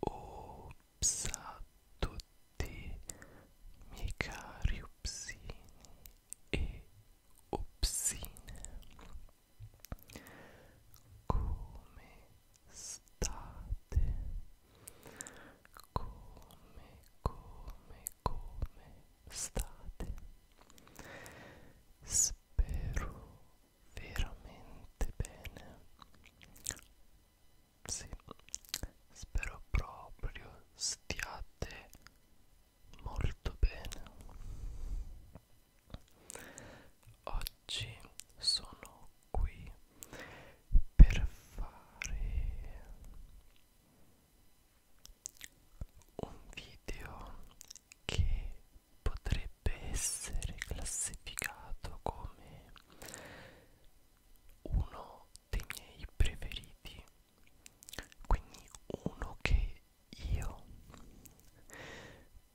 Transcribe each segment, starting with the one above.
Ops a tutti miei cari opsini come state come, come, come state? Spero veramente bene. Sì, spero proprio stiate molto bene. Oggi sono qui per fare un video che potrebbe essere classificato come uno dei miei preferiti quindi uno che io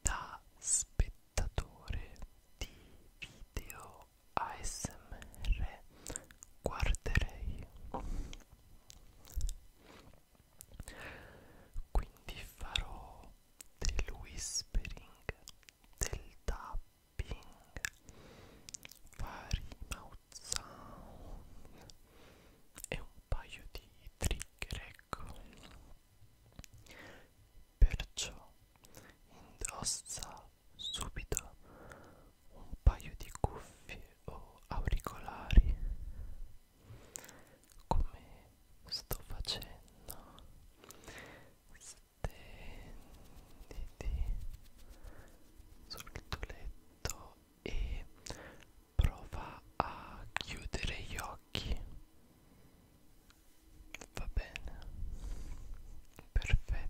da spettatore di video ASMR guarderei quindi farò del whispering del tapping vari mouth sound e un paio di trigger ecco perciò indossa subito un paio di cuffie o auricolari come sto facendo stenditi sul tuo letto e prova a chiudere gli occhi va bene perfetto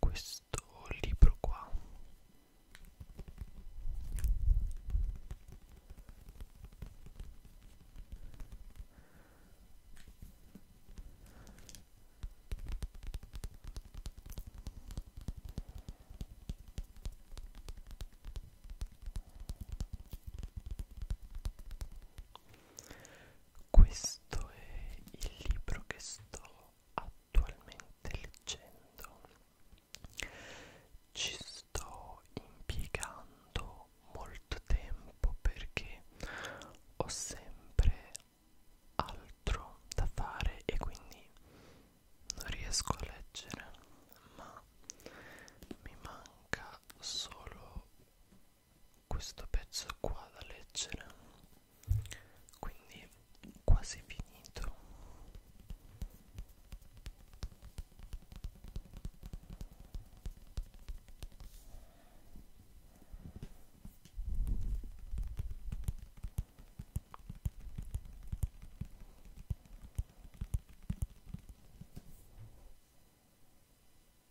questo libro qua questo è il libro che sto attualmente leggendo. Ci sto impiegando molto tempo perché ho sempre altro da fare e quindi non riesco a leggere, ma mi manca solo questo pezzo qua da leggere quindi quasi finito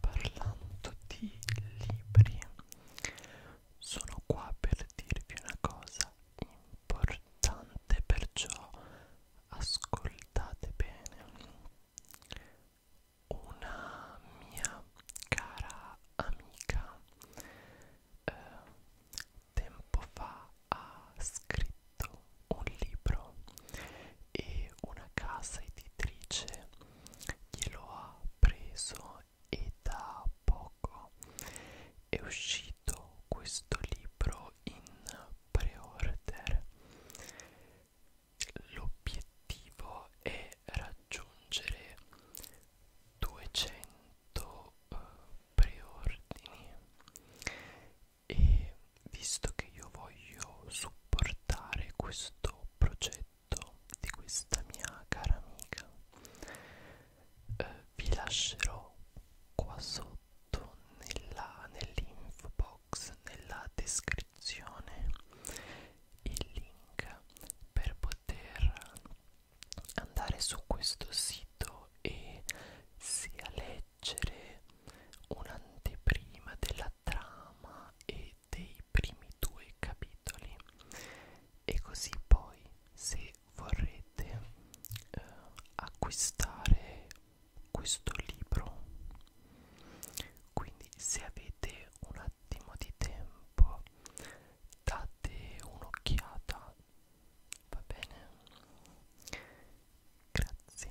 parlando di libri sono qua per dirvi una cosa importante perciò ascoltate bene una mia cara amica eh, tempo fa ha scritto un libro e una casa editrice glielo ha preso e da poco è uscito questo libro in pre-order. L'obiettivo è raggiungere 200 eh, preordini e visto che io voglio supportare questo progetto letto di questa mia cara amica eh, vi lascerò qua sotto nell'info nell box nella descrizione il link per poter andare su questo sito e sia leggere un'anteprima della trama e dei primi due capitoli e così poi se vorrete eh, acquistare questo libro quindi se avete un attimo di tempo date un'occhiata va bene grazie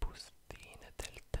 bustine del tè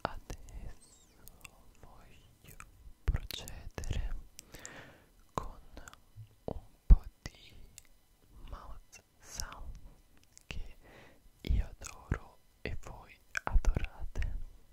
Adesso voglio procedere con un po' di mouth sound che io adoro e voi adorate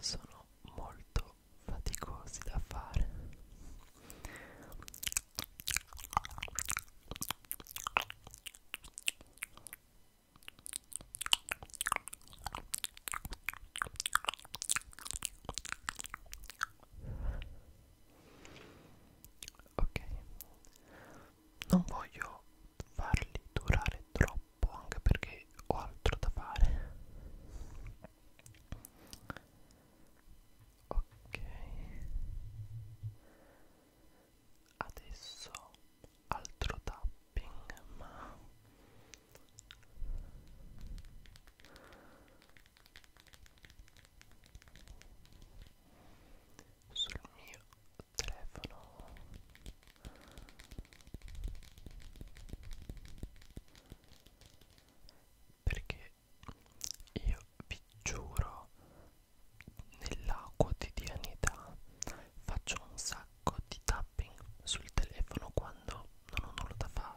Sono molto faticosi da fare ok non voglio farli durare troppo anche perché ho altro da fare ok adesso altro tapping ma sul mio telefono perché io vi giuro nella quotidianità faccio un sacco sacco di tapping sul telefono quando non ho nulla da fare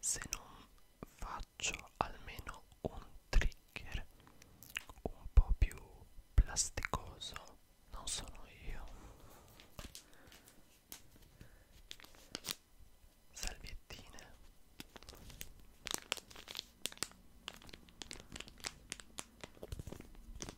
se non faccio almeno un trigger un po' più plasticoso non sono io salviettine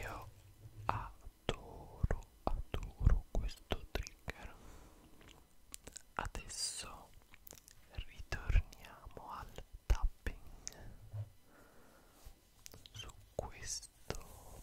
Io adoro, adoro questo trigger. Adesso ritorniamo al tapping su questo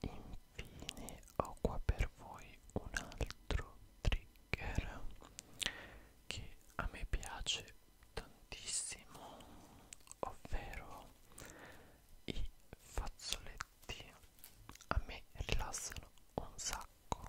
infine ho qua per voi un altro trigger che a me piace tantissimo ovvero i fazzoletti a me rilassano un sacco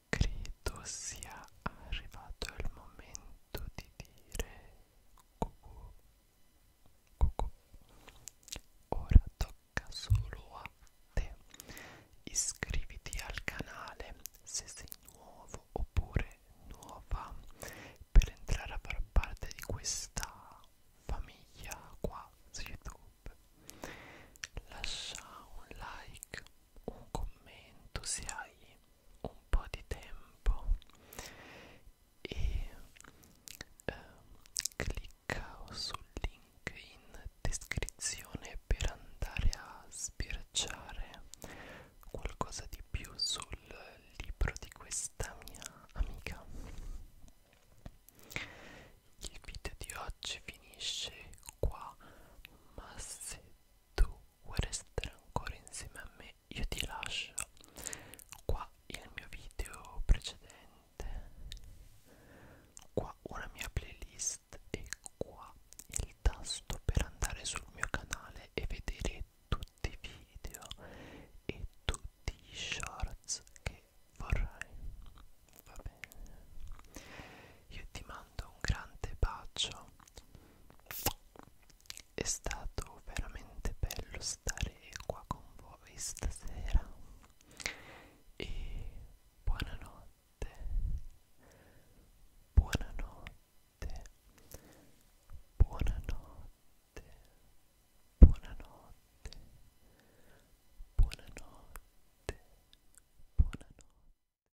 Credo sia arrivato il momento di dire cucù, cucù. Ora tocca solo a te. Iscriviti al canale se sei nuovo oppure nuova per entrare a far parte di questa famiglia qua su YouTube. Lascia un like un commento se hai un po' di tempo e eh, clicca sul link in descrizione per andare a sbirciare qualcosa di più sul libro di questa mia amica il video di oggi finisce qua ma se tu vuoi restare ancora insieme a me io ti lascio qua il mio video precedente qua una mia playlist e qua il tasto per andare sul mio canale e vedere tutti i video e tutti gli shorts che vorrai va bene io ti mando un grande bacio è stato veramente bello stare qua con voi stasera e buonanotte, buonanotte, buonanotte, buonanotte, buonanotte, buonanotte.